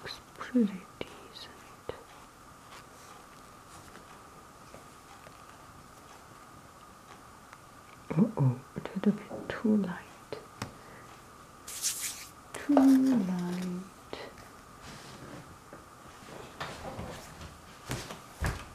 looks pretty decent. Uh oh, a little bit too light. Too light.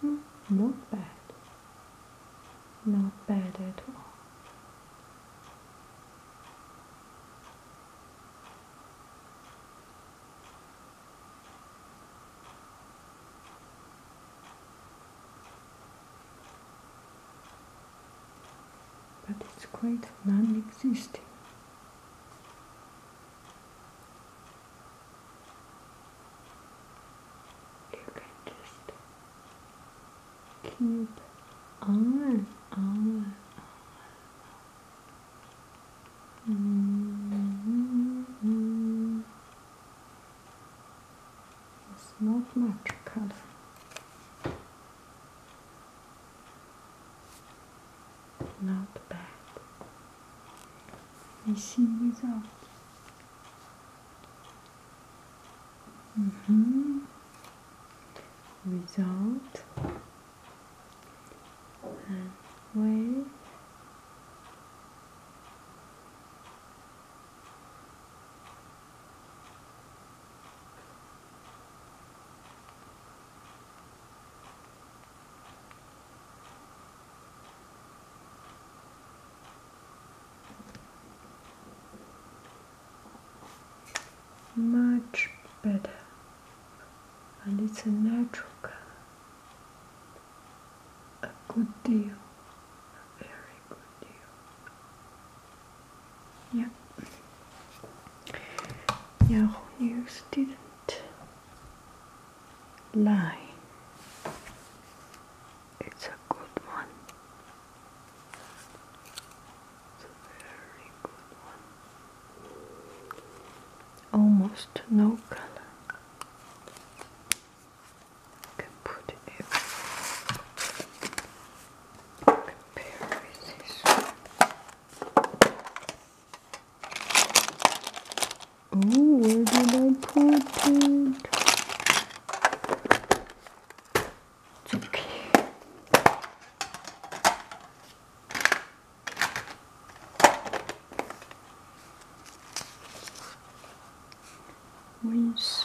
Hmm, not bad. Not bad at all. But it's quite non existent you can just keep on, on, on. Mm It's not much color. Not bad. We see mm-hmm. result. Mm -hmm. Result and wave much better and it's a natural color a good deal a very good deal yeah. Your news didn't lie. It's a good one. It's a very good one. Almost no color. You can put it compare with this Oh, where did I put it? okay. Where's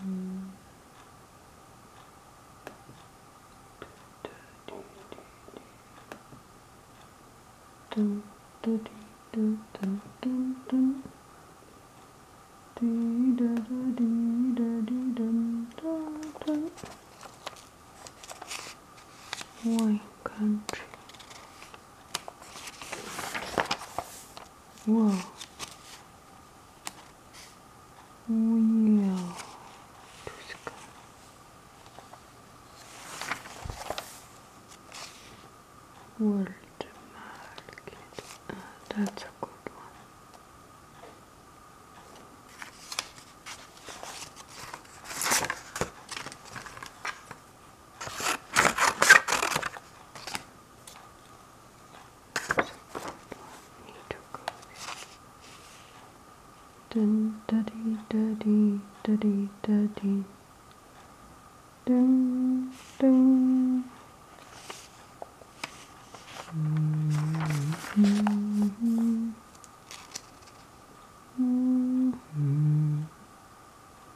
Mm. Dun, dun, dun, dun, dun, dun. Dee, da, da, dee, da, dee, dun, dun, dun. Wine country. Whoa. Wheel. World market. that's a good one. Dun daddy daddy daddy daddy dun dun mm -hmm. Mm -hmm.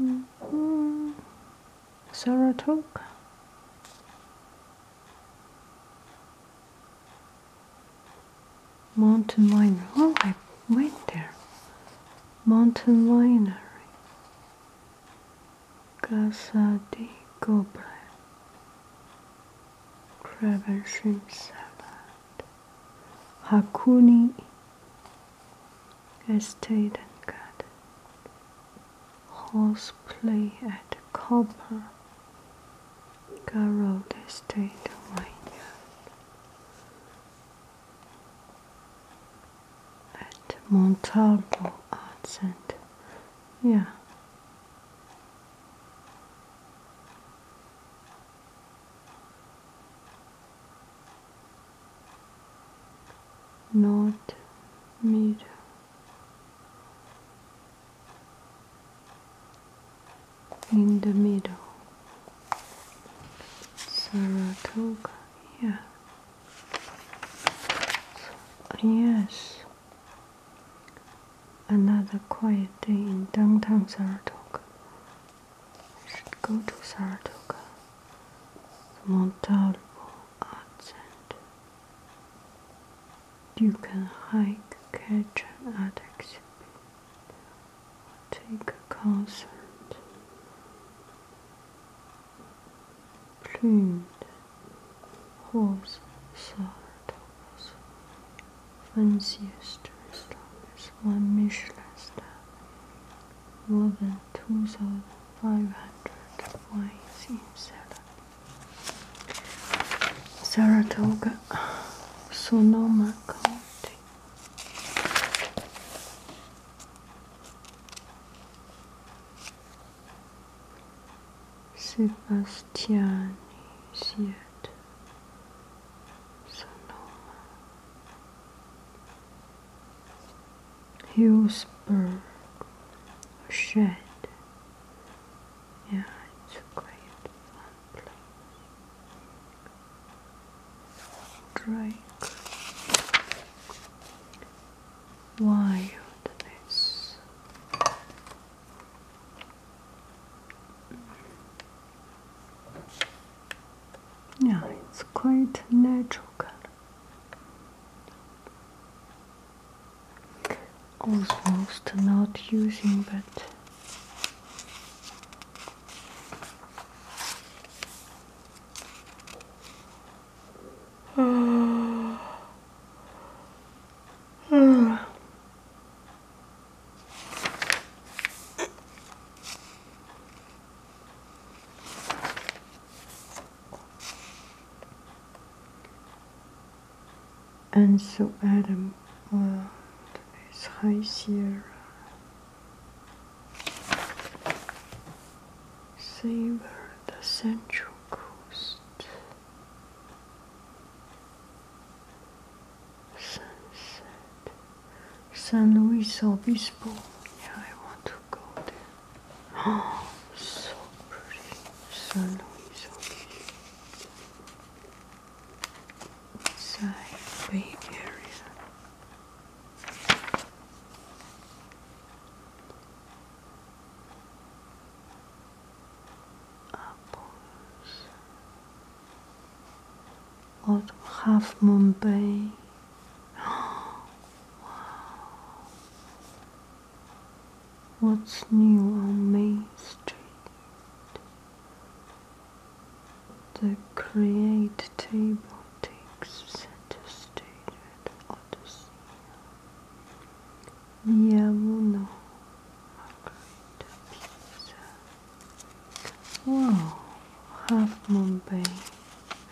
Mm Mountain miner. Oh, I went there. Mountain miner, Casa de Cobra. Craven Hakuni Estate and Garden, Horseplay at Copper, Garrod Estate Vineyard, at Montalvo Art Center. Yeah not made in the middle Saratoga yeah yes Another quiet day in downtown Saratoga. I should go to Saratoga, the Montalvo Art Center. You can hike, catch an art exhibit, take a concert. Plumed horse, Saratoga fanciest, strongest one Michelin star, more than 2,500 wines in salad. Saratoga, Sonoma County. Sebastiani yet. Sonoma, Hillsburg, Shed. Yeah, it's a great fun place. Drake, Wilderness, yeah, it's quite natural color. Almost not using, but and so Adam went his High Sierra. Savor the central coast sunset. San Luis Obispo. Yeah, I want to go there. Oh, so pretty. San Luis Obispo. Inside Bay Area apples out half moon bay. What's new on Main Street? The create table takes center stage at Odyssey. Via Uno Oh, half moon bay.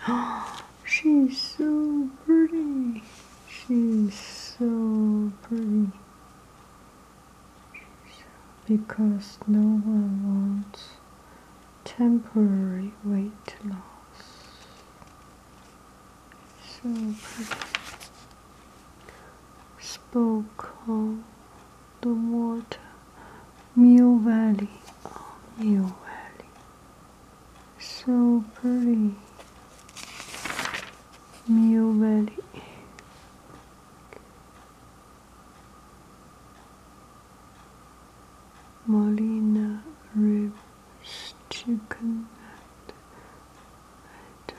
She's so pretty. She's so pretty. Because no one wants temporary weight loss. So spoke of the water Mill Valley, oh Valley, so pretty Mill Valley. Molina ribs, chicken, and, and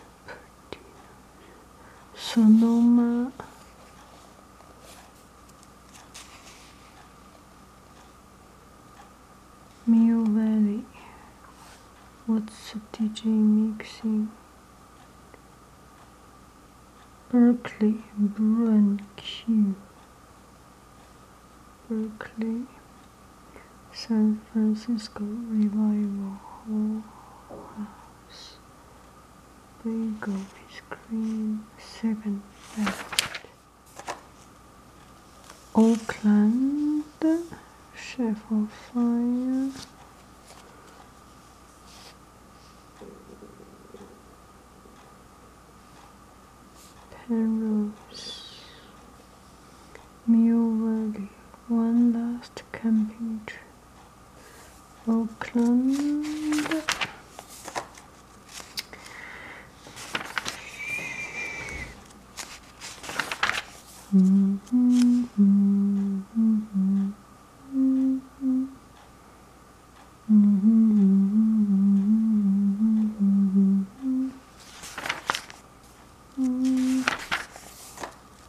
Sonoma. Mill Valley. What's DJ mixing? Berkeley, Bruin Q. Berkeley, San Francisco Revival House Bagel with Cream Second Oakland Chef of Fire Penrose Mill Valley One Last Camping Trip Oakland. Mm -hmm, mm -hmm, mm -hmm.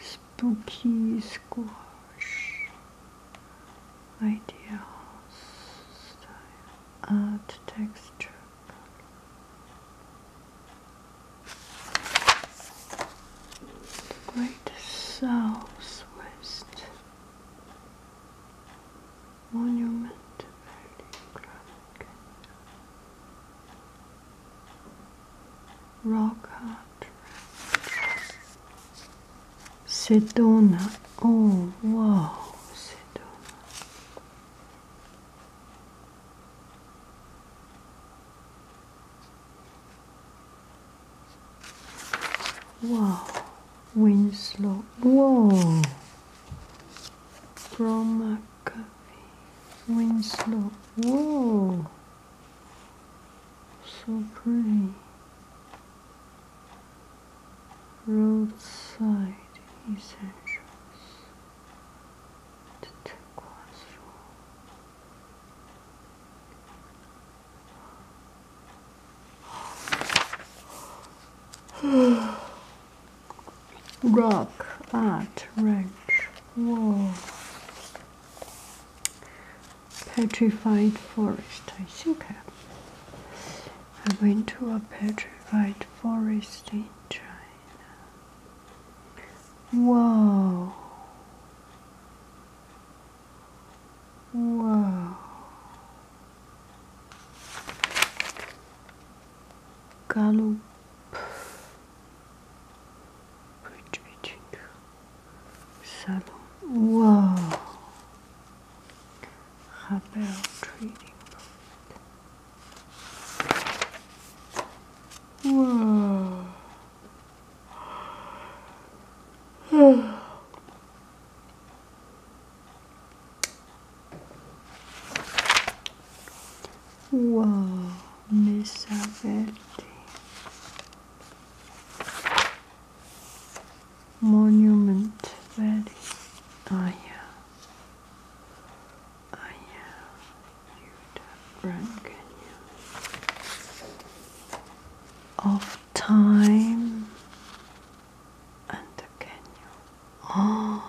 spooky squash ideals art texture Great Southwest Monument Valley Rock Rockart. Sedona. Oh, wow. Sedona. Wow. Winslow. Whoa. From McAfee. Winslow. Whoa. So pretty. Roadside essentials. The turquoise room. Rock art ranch. Whoa petrified forest. I think eh? I, went to a petrified forest in China. Whoa. Whoa. Gallup Portrait salon. Whoa. Havel trading post. Whoa. Whoa, Miss Alberti. Monument Valley. Oh yeah. Oh yeah. Of time and the canyon. Oh.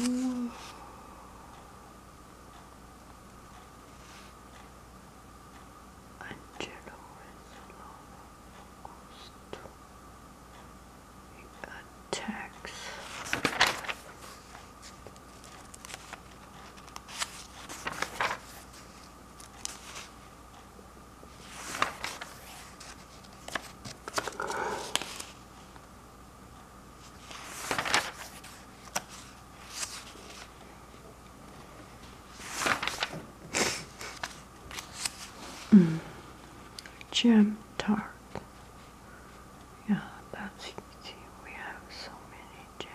Ooh. Angelo is He attacks. Mm. Jam tart. Yeah, that's easy. We have so many jams.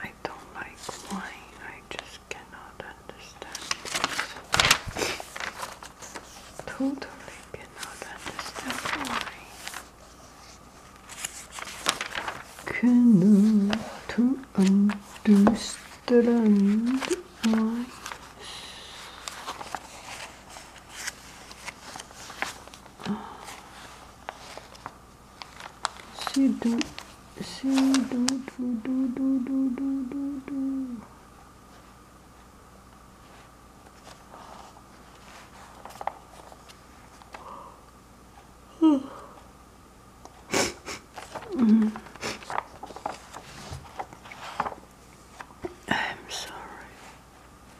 I don't like wine. I just cannot understand Totally cannot understand why. Cannot understand why she do she do do do do do do do do mm -hmm. I'm sorry.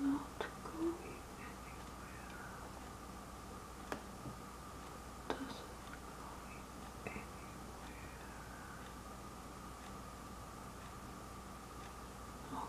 Not going anywhere. Doesn't go anywhere. Okay. Now